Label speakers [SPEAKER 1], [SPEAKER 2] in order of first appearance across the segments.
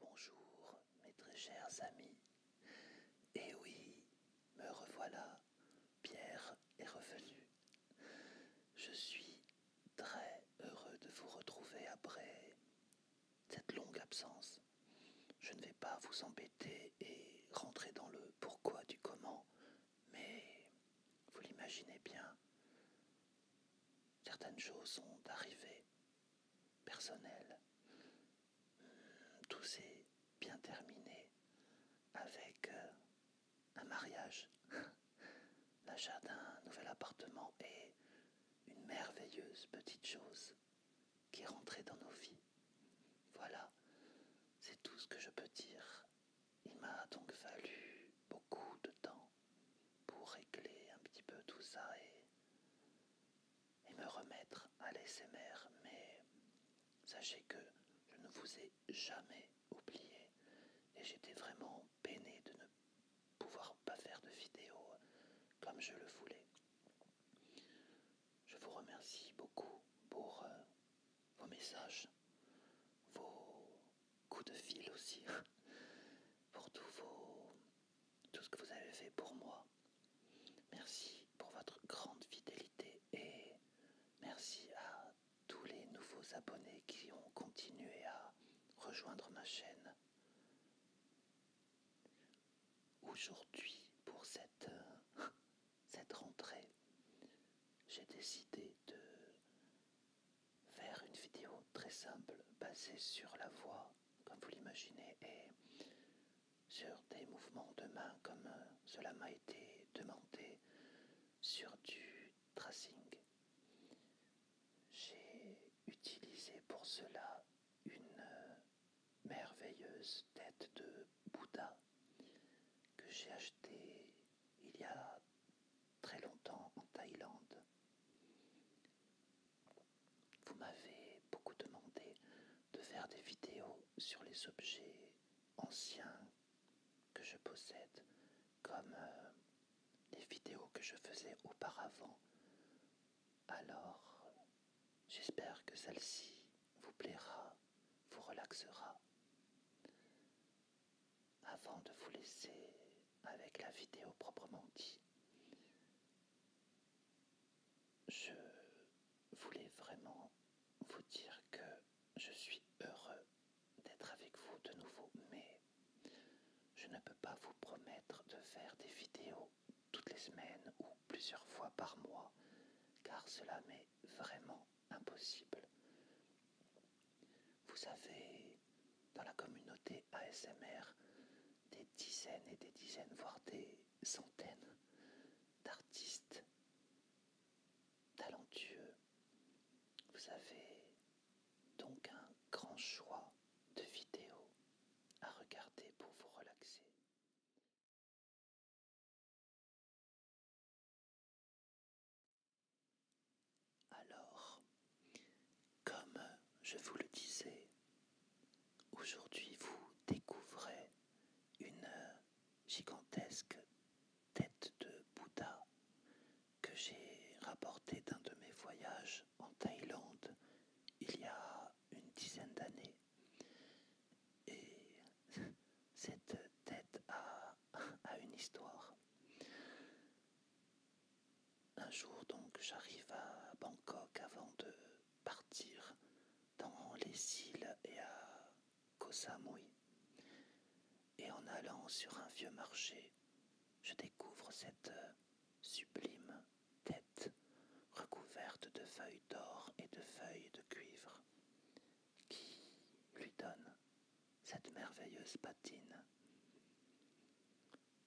[SPEAKER 1] Bonjour mes très chers amis. Et eh oui, me revoilà. Pierre est revenu je suis très heureux de vous retrouver après cette longue absence. Je ne vais pas vous embêter et rentrer dans le pourquoi du comment, mais vous l'imaginez bien, certaines choses sont arrivées, personnelles. Tout s'est bien terminé avec euh, un mariage, l'achat d'un nouvel appartement et une merveilleuse petite chose qui est rentrée dans nos vies. Voilà, c'est tout ce que je peux dire. Il m'a donc fallu beaucoup de temps pour régler un petit peu tout ça et, me remettre à mère mais sachez que je ne vous ai jamais oublié. Et j'étais vraiment peiné de ne pouvoir pas faire de vidéo comme je le voulais. Je vous remercie beaucoup pour euh, vos messages, vos coups de fil aussi, pour tout, tout ce que vous avez fait pour moi. Merci pour votre grande fidélité et merci à tous les nouveaux abonnés qui ont continué à rejoindre ma chaîne. Aujourd'hui, pour cette, rentrée, j'ai décidé de faire une vidéo très simple basée sur la voix, comme vous l'imaginez, et sur des mouvements de main comme euh, cela m'a été demandé sur du tracing. J'ai utilisé pour cela une euh, merveilleuse tête de Bouddha que j'ai achetée il y a très longtemps en Thaïlande. Vous m'avez beaucoup demandé de faire des vidéos sur les objets anciens que je possède, comme les euh, vidéos que je faisais auparavant. Alors, j'espère que celle-ci vous plaira, vous relaxera. Avant de vous laisser avec la vidéo proprement dit, je voulais vraiment vous dire que je suis heureux d'être avec vous de nouveau, mais je ne peux pas vous promettre de faire des vidéos toutes les semaines ou plusieurs fois par mois, car cela m'est vraiment impossible. Vous avez dans la communauté ASMR des dizaines et des dizaines, voire des centaines d'artistes talentueux vous avez donc un grand choix de vidéos à regarder pour vous relaxer. Alors, comme je vous le disais, aujourd'hui vous découvrez une gigantesque tête de Bouddha que j'ai rapportée d'un de mes voyages en Thaïlande il y a une dizaine d'années. Et cette tête a, une histoire. Un jour donc j'arrive à Bangkok avant de partir dans les îles et à Kosamui. Et en allant sur un vieux marché, je découvre cette euh, sublime tête recouverte de feuilles d'or et de feuilles de cuivre qui lui donne cette merveilleuse patine.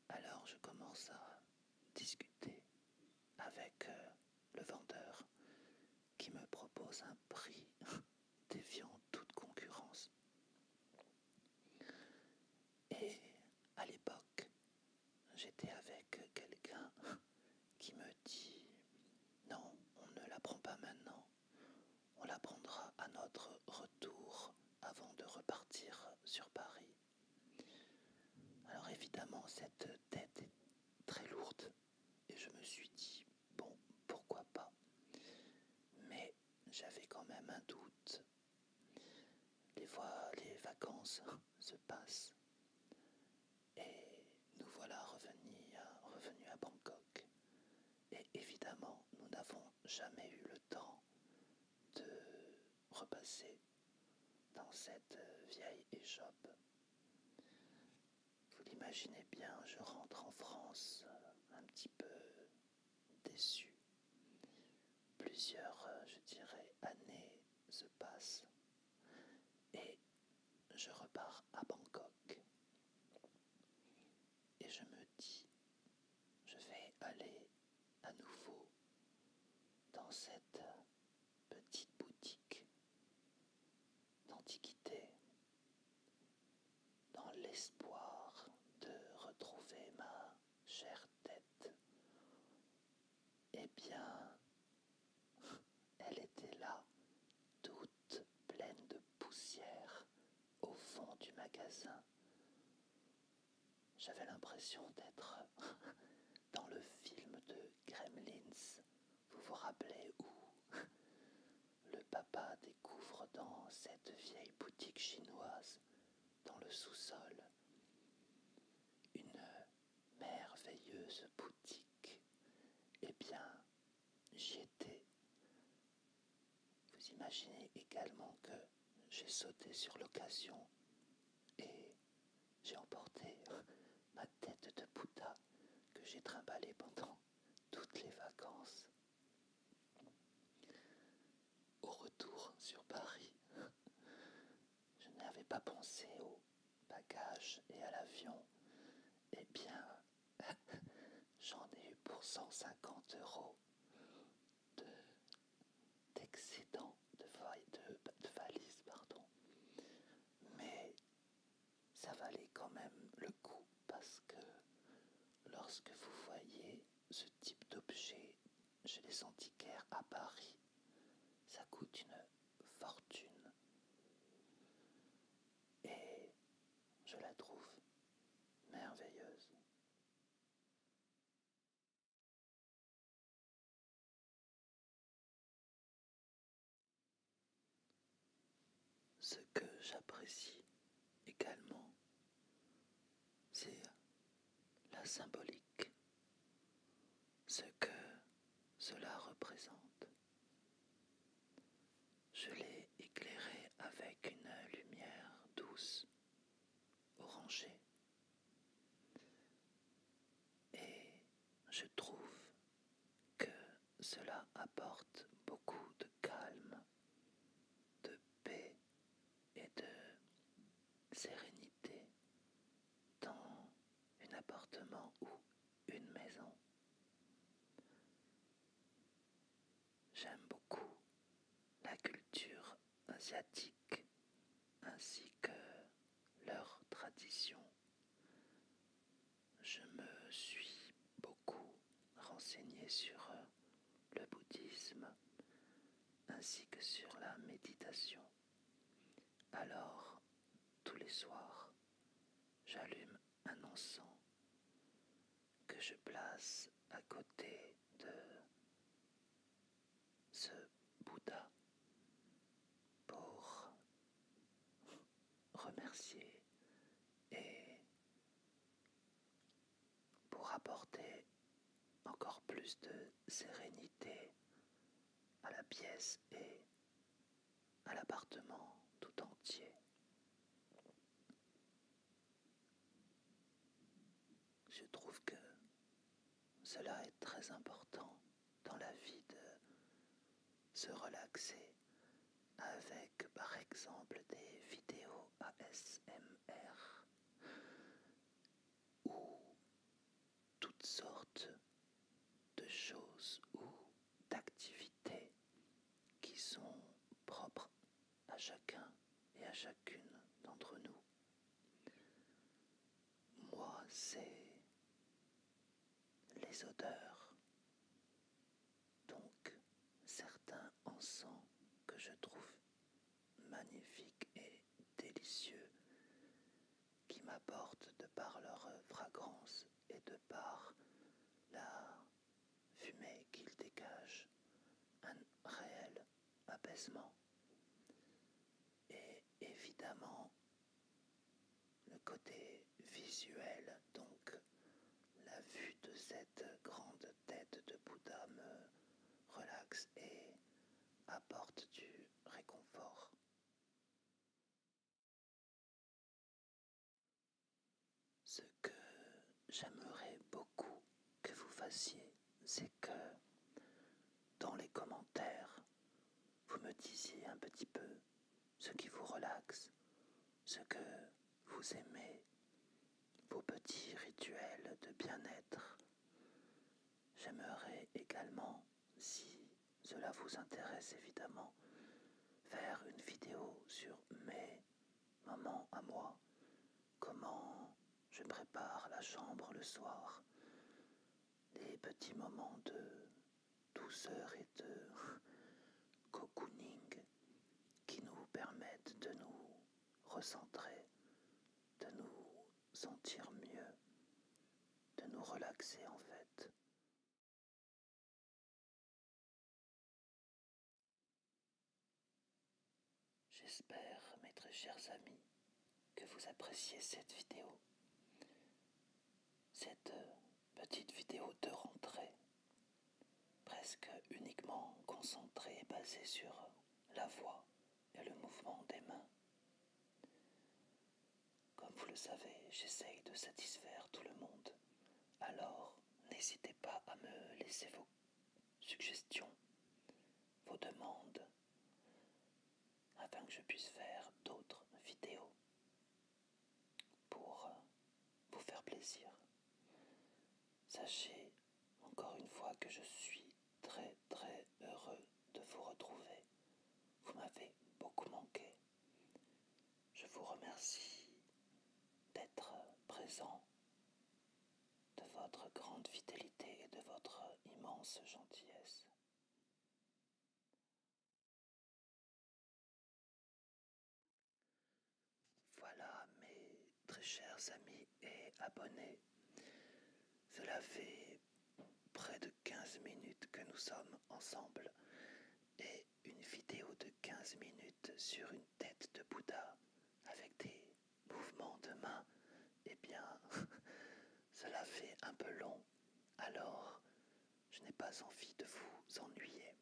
[SPEAKER 1] Alors je commence à discuter avec euh, le vendeur qui me propose un prix défiant toute concurrence. Et à l'époque, j'étais avec quelqu'un qui me dit non, on ne la prend pas maintenant, on la prendra à notre retour avant de repartir sur Paris. Alors évidemment, cette tête est très lourde et je me suis dit, bon, pourquoi pas Mais j'avais quand même un doute. Les, les vacances se passent et nous voilà revenus à, à Bangkok. Et évidemment, nous n'avons jamais eu le temps de repasser dans cette vieille échoppe. Vous l'imaginez bien, je rentre en France euh, un petit peu déçu. Plusieurs, euh, je dirais, années se passent et je repars à Bangkok. Et je me dis, je vais aller à nouveau dans cette petite boutique d'Antiquité, dans l'espoir de retrouver ma chère tête. Eh bien, elle était là, toute pleine de poussière, au fond du magasin. J'avais l'impression d'être dans le film de Gremlins. Vous vous rappelez où le papa découvre dans cette vieille boutique chinoise, dans le sous-sol, une merveilleuse boutique. Eh bien, j'y étais. Vous imaginez également que j'ai sauté sur l'occasion et j'ai emporté ma tête de Bouddha que j'ai trimballée pendant toutes les vacances. Au retour sur Paris, je n'avais pas pensé au bagages et à l'avion. Eh bien, j'en ai eu pour 150 euros d'excédent de, de valise, pardon. Mais ça valait quand même le coup parce que lorsque vous voyez ce type d'objet chez les antiquaires à Paris, ça coûte une fortune. Et je la trouve merveilleuse. Ce que j'apprécie également, c'est la symbolique, ce que cela représente. Je l'ai éclairé avec une lumière douce, orangée, et je trouve que cela apporte beaucoup de calme de paix et de sérénité dans un appartement ou une maison. J'aime beaucoup la culture asiatique ainsi que leurs traditions je me suis beaucoup renseigné sur euh, le bouddhisme ainsi que sur la méditation. Alors, tous les soirs, j'allume un encens que je place à côté de ce Bouddha pour remercier et pour apporter encore plus de sérénité à la pièce et à l'appartement tout entier. Je trouve que cela est très important dans la vie de se relaxer avec par exemple des vidéos ASMR ou toutes sortes de choses ou d'activités qui sont propres à chacun et à chacune d'entre nous. Moi, c'est les odeurs, donc, certains encens que je trouve magnifiques et délicieux, qui m'apportent de par leur fragrance et de par la fumée qu'ils dégagent un réel apaisement. Et évidemment, le côté visuel, donc la vue de cette grande tête de Bouddha me relaxe et apporte du réconfort. Ce que j'aimerais beaucoup que vous fassiez, c'est que dans les commentaires, vous me disiez un petit peu ce qui vous relaxe, ce que vous aimez, vos petits rituels de bien-être. J'aimerais également, si cela vous intéresse évidemment, faire une vidéo sur mes moments à moi, comment je prépare la chambre le soir, les petits moments de douceur et de cocooning qui nous permettent de nous recentrer, de nous sentir mieux, de nous relaxer en fait. J'espère, mes très chers amis, que vous appréciez cette vidéo, cette euh, petite vidéo de rentrée presque uniquement concentré, et basé sur la voix et le mouvement des mains. Comme vous le savez, j'essaye de satisfaire tout le monde. Alors, n'hésitez pas à me laisser vos suggestions, vos demandes, afin que je puisse faire d'autres vidéos pour vous faire plaisir. Sachez encore une fois que je suis très très heureux de vous retrouver. Vous m'avez beaucoup manqué. Je vous remercie d'être présent, de votre grande fidélité et de votre immense gentillesse. Voilà mes très chers amis et abonnés. Cela fait près de 15 minutes que nous sommes ensemble et une vidéo de 15 minutes sur une tête de Bouddha avec des mouvements de main, eh bien, cela fait un peu long. Alors, je n'ai pas envie de vous ennuyer.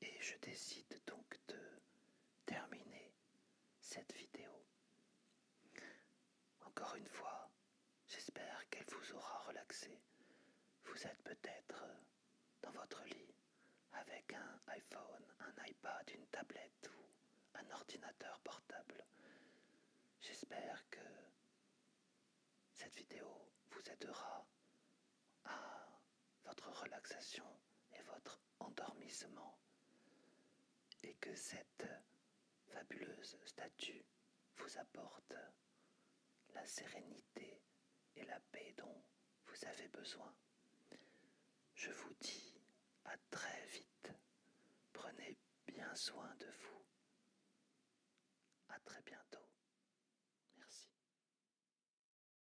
[SPEAKER 1] Et je décide donc de terminer cette vidéo. Encore une fois, j'espère qu'elle vous aura relaxé. Vous êtes peut-être dans votre lit avec un iPhone, un iPad, une tablette ou un ordinateur portable. J'espère que cette vidéo vous aidera à votre relaxation et votre endormissement et que cette fabuleuse statue vous apporte la sérénité et la paix dont vous avez besoin. Je vous dis à très vite. Prenez bien soin de vous. À très bientôt. Merci.